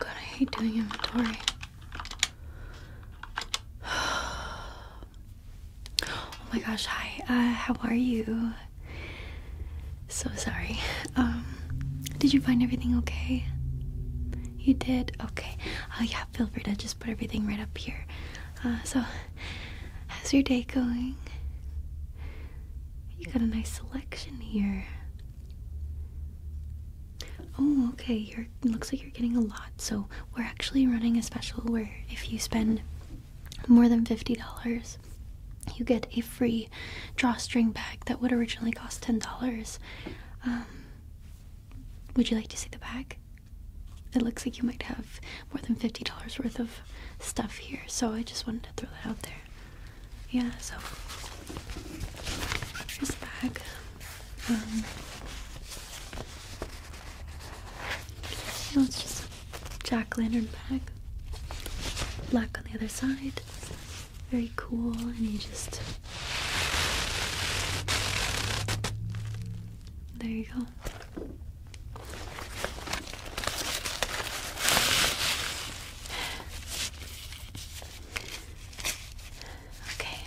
God, I hate doing inventory. Oh my gosh, hi. Uh, how are you? So sorry. Um, did you find everything okay? You did? Okay. Oh, yeah, feel free to just put everything right up here. Uh, so, how's your day going? You got a nice selection here. Oh, okay. You're looks like you're getting a lot. So we're actually running a special where if you spend more than fifty dollars, you get a free drawstring bag that would originally cost $10. Um, would you like to see the bag? It looks like you might have more than $50 worth of stuff here, so I just wanted to throw that out there. Yeah, so here's bag. Um, you it's just a jack lantern bag. Black on the other side very cool and you just there you go okay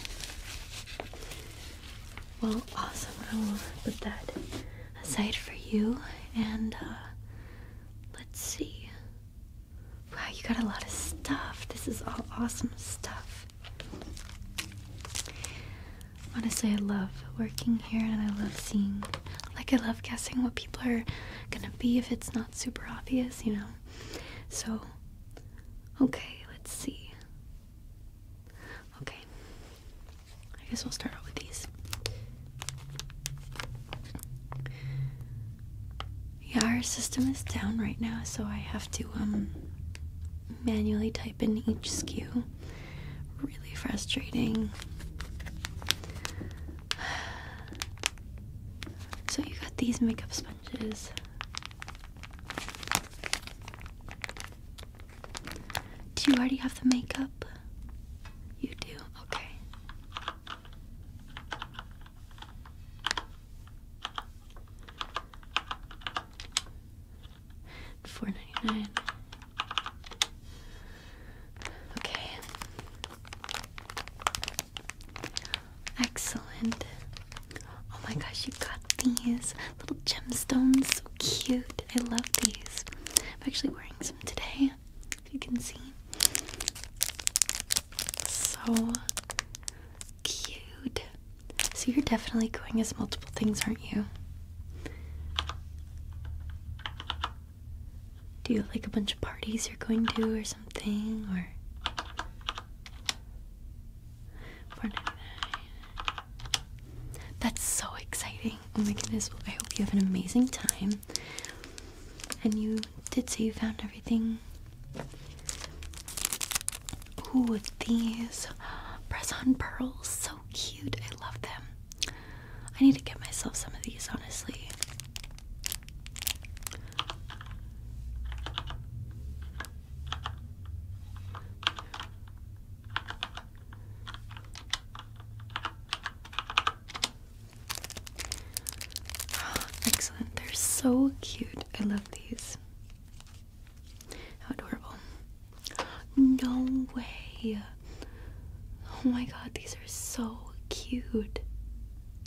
well awesome i will put that aside for you and uh, let's see Wow, you got a lot of stuff. This is all awesome stuff. Honestly, I love working here and I love seeing, like, I love guessing what people are gonna be if it's not super obvious, you know? So, okay, let's see. Okay, I guess we'll start off with these. Yeah, our system is down right now, so I have to um manually type in each SKU. Really frustrating. So you got these makeup sponges. Do you already have the makeup? You do? Okay. Four ninety nine. Okay. Excellent. Oh my gosh, you got these little gemstones. So cute. I love these. I'm actually wearing some today if you can see. So cute. So you're definitely going as multiple things, aren't you? Do you like a bunch of parties you're going to or something or that's so exciting. Oh my goodness. I hope you have an amazing time. And you did say you found everything. Ooh, these press pearls, so cute. I love them. I need to get myself some of these, honestly. Excellent. They're so cute. I love these. How adorable. No way. Oh my god, these are so cute.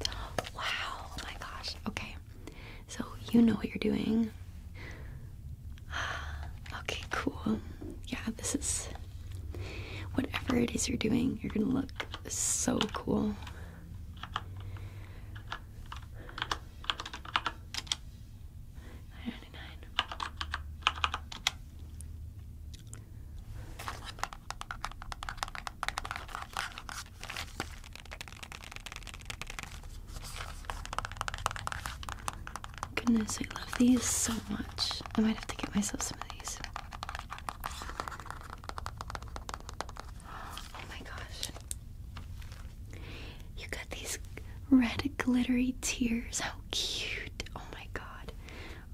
Wow. Oh my gosh. Okay. So you know what you're doing. Okay, cool. Yeah, this is Whatever it is you're doing, you're gonna look so cool. Goodness, I love these so I might have to get myself some of these. Oh my gosh. You got these red glittery tears. How cute. Oh my god.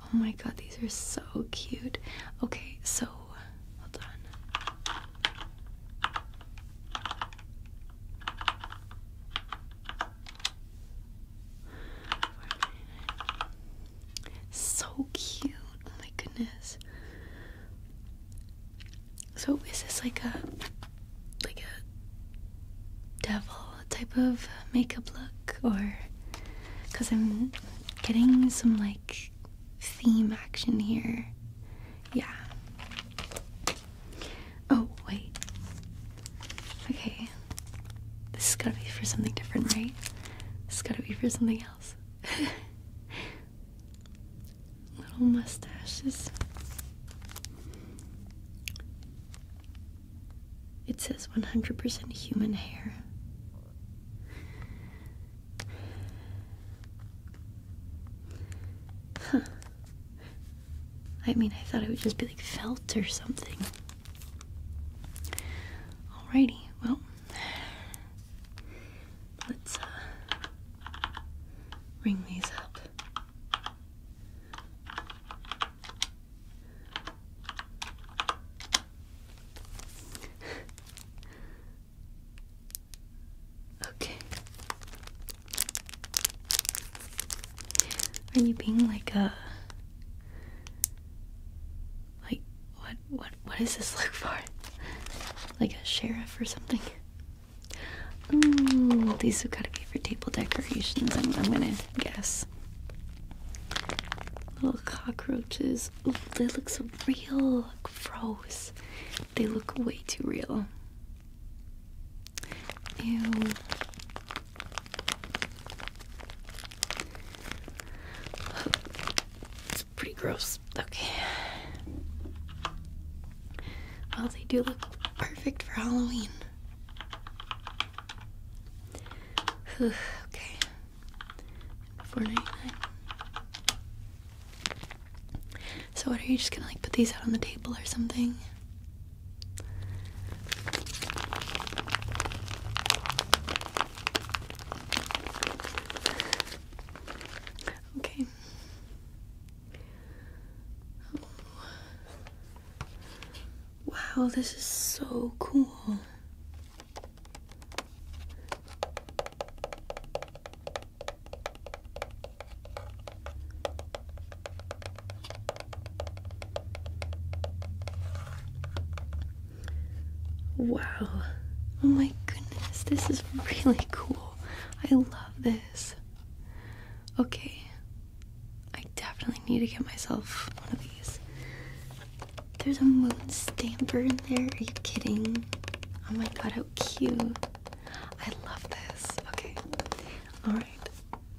Oh my god, these are so cute. Okay, so so cute. Oh my goodness. So is this like a like a devil type of makeup look or cuz I'm getting some like theme action here. Yeah. Oh, wait. Okay. This has gotta be for something different, right? This has gotta be for something else. Little mustaches. It says 100% human hair. Huh. I mean, I thought it would just be like felt or something. Alrighty, well, let's uh, ring these up. okay. Are you being like a like what what what is this look for? Like a sheriff or something? Ooh, hmm, these have got to be for table decorations. I'm, gonna guess. Little cockroaches. Ooh, they look so real. froze. They look way too real. Ew. It's pretty gross. Okay. Well, they do look perfect for Halloween. okay. Four ninety nine. So what are you just gonna like put these out on the table or something? Okay. Wow, this is so cool. Wow. Oh my goodness, this is really cool. I love this. Okay. I definitely need to get myself one of these. There's a moon stamper in there. Are you kidding? Oh my god, how cute. I love this. Okay. Alright.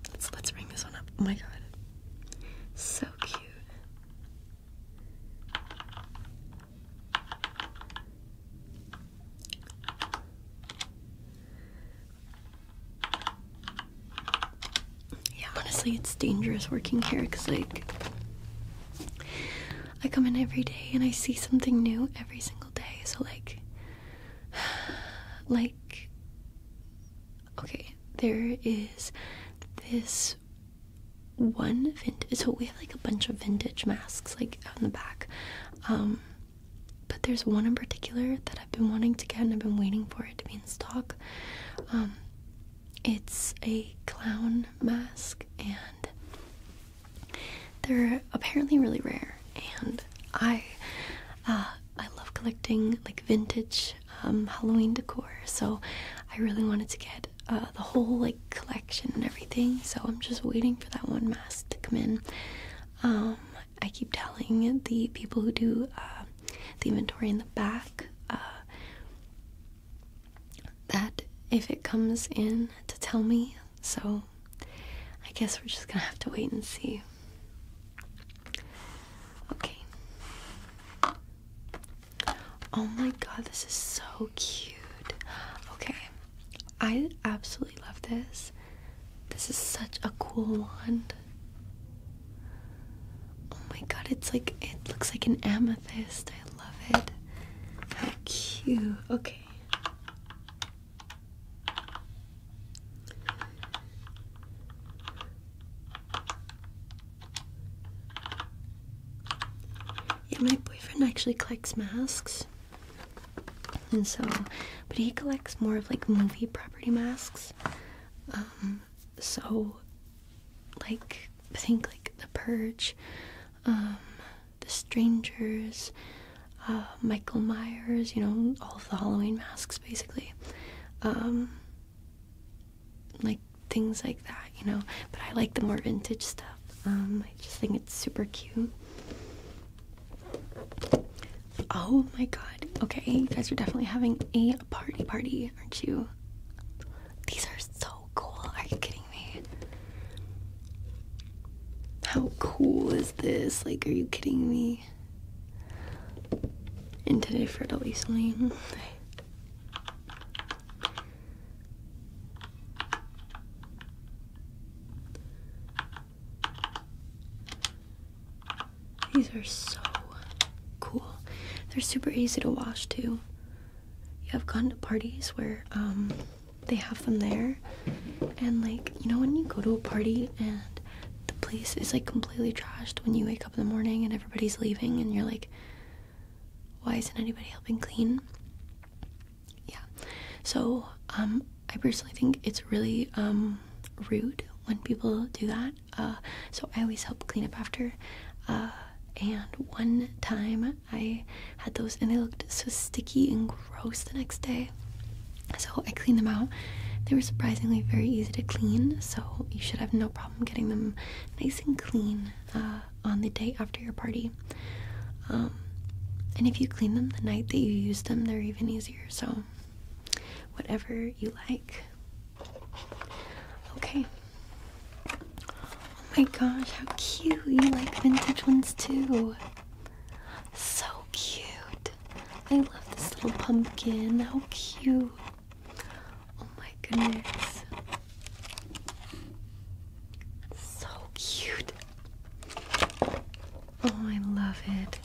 Let's, let's ring this one up. Oh my god. So cute. Yeah, honestly, it's dangerous working here because, like, I come in every day and I see something new every single day. So, like, like, Okay, there is this one vintage. So we have like a bunch of vintage masks like out in the back. Um, but there's one in particular that I've been wanting to get and I've been waiting for it to be in stock. Um, it's a clown mask and they're apparently really rare. And I uh, I love collecting like vintage um, Halloween decor, so I really wanted to get uh, the whole like collection and everything. So I'm just waiting for that one mask to come in. Um, I keep telling the people who do uh, the inventory in the back that if it comes in to tell me, so I guess we're just gonna have to wait and see. Okay. Oh my god, this is so cute. Okay. I absolutely love this. This is such a cool wand. Oh my god, it's like it looks like an amethyst. I love it. How cute. Okay. Yeah, my boyfriend actually collects masks. And so, but he collects more of like movie property masks. Um, so, like, I think like The Purge, um, The Strangers, uh, Michael Myers, you know, all of the Halloween masks basically. Um, like things like that, you know. But I like the more vintage stuff. Um, I just think it's super cute. Oh my god. Okay, you guys are definitely having a party party, aren't you? These are so cool. Are you kidding me? How cool is this? Like, are you kidding me? And today for the recently. These are so cool. They're super easy to wash too. You have gone to parties where um, they have them there. And like, you know, when you go to a party and the place is like completely trashed when you wake up in the morning and everybody's leaving and you're like, why isn't anybody helping clean? Yeah. So, um, I personally think it's really um, rude when people do that. Uh, so I always help clean up after. Uh, and one time I had those and they looked so sticky and gross the next day. So I cleaned them out. They were surprisingly very easy to clean, so you should have no problem getting them nice and clean uh, on the day after your party. Um, and if you clean them the night that you use them, they're even easier. So, whatever you like. Okay. Oh my gosh, how cute! You like vintage ones too. So cute. I love this little pumpkin. How cute. Oh my goodness. So cute. Oh, I love it.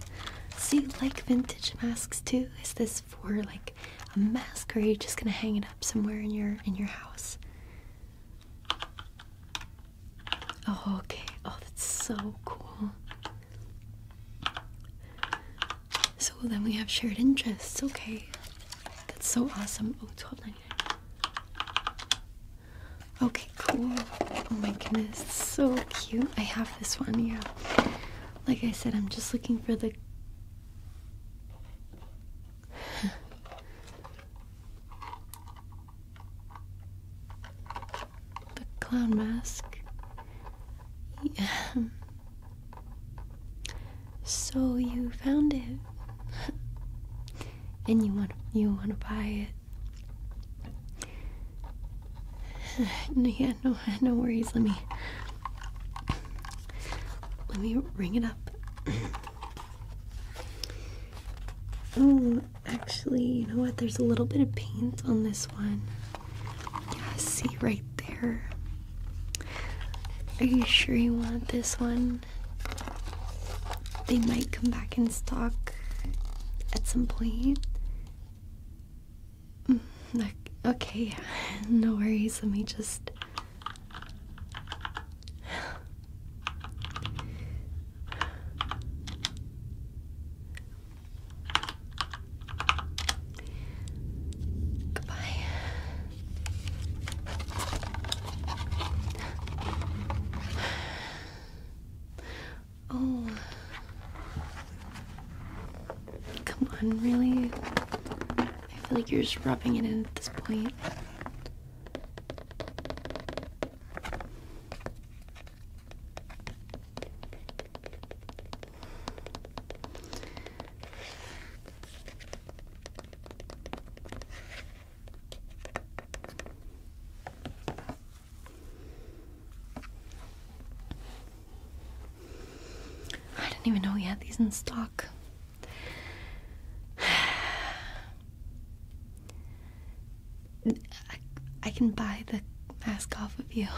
So you like vintage masks too? Is this for like a mask or are you just gonna hang it up somewhere in your in your house? Oh, okay. Oh, that's so cool. So then we have shared interests. Okay. That's so awesome. Oh, 12 Okay, cool. Oh my goodness, so cute. I have this one, yeah. Like I said, I'm just looking for the the clown mask. Yeah. So you found it, and you want you want to buy it. yeah, no, no worries. Let me let me ring it up. Oh, actually, you know what? There's a little bit of paint on this one. Yeah, see right there. Are you sure you want this one? They might come back in stock at some point. Mm, okay, no worries. Let me just Goodbye. Oh. Come on, really? I feel like you're just rubbing it in at this point. I didn't even know we had these in stock. I, can buy the mask off of you.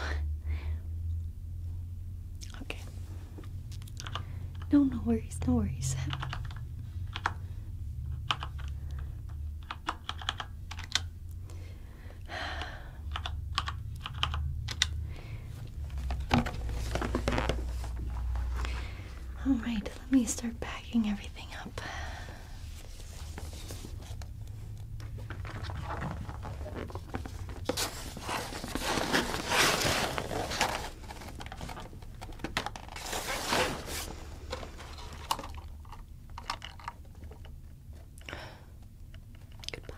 Okay. No, no worries, no worries. All right let me start packing everything up. Goodbye.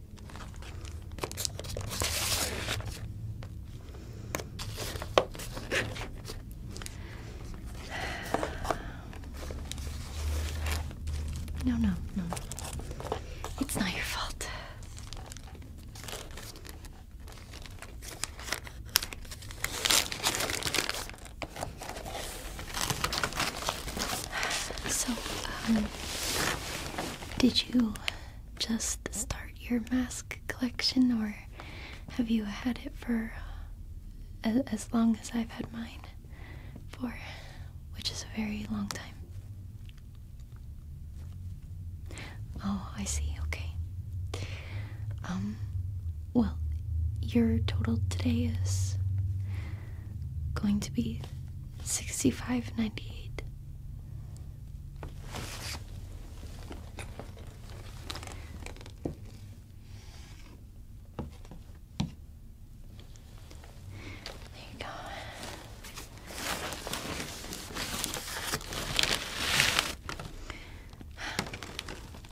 No, no, no. It's not your fault. So, um, did you just start your mask collection, or have you had it for uh, as long as I've had mine? For which is a very long time. Oh, I see. Okay. Um, well, your total today is going to be Sixty-five ninety-eight. There you go.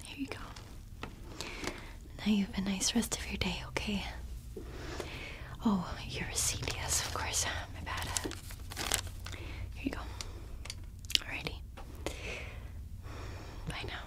Here you go. Now you have a nice rest of your day, okay? Oh, you're a CDS, of course. My bad. Here you go. Alrighty. Bye now.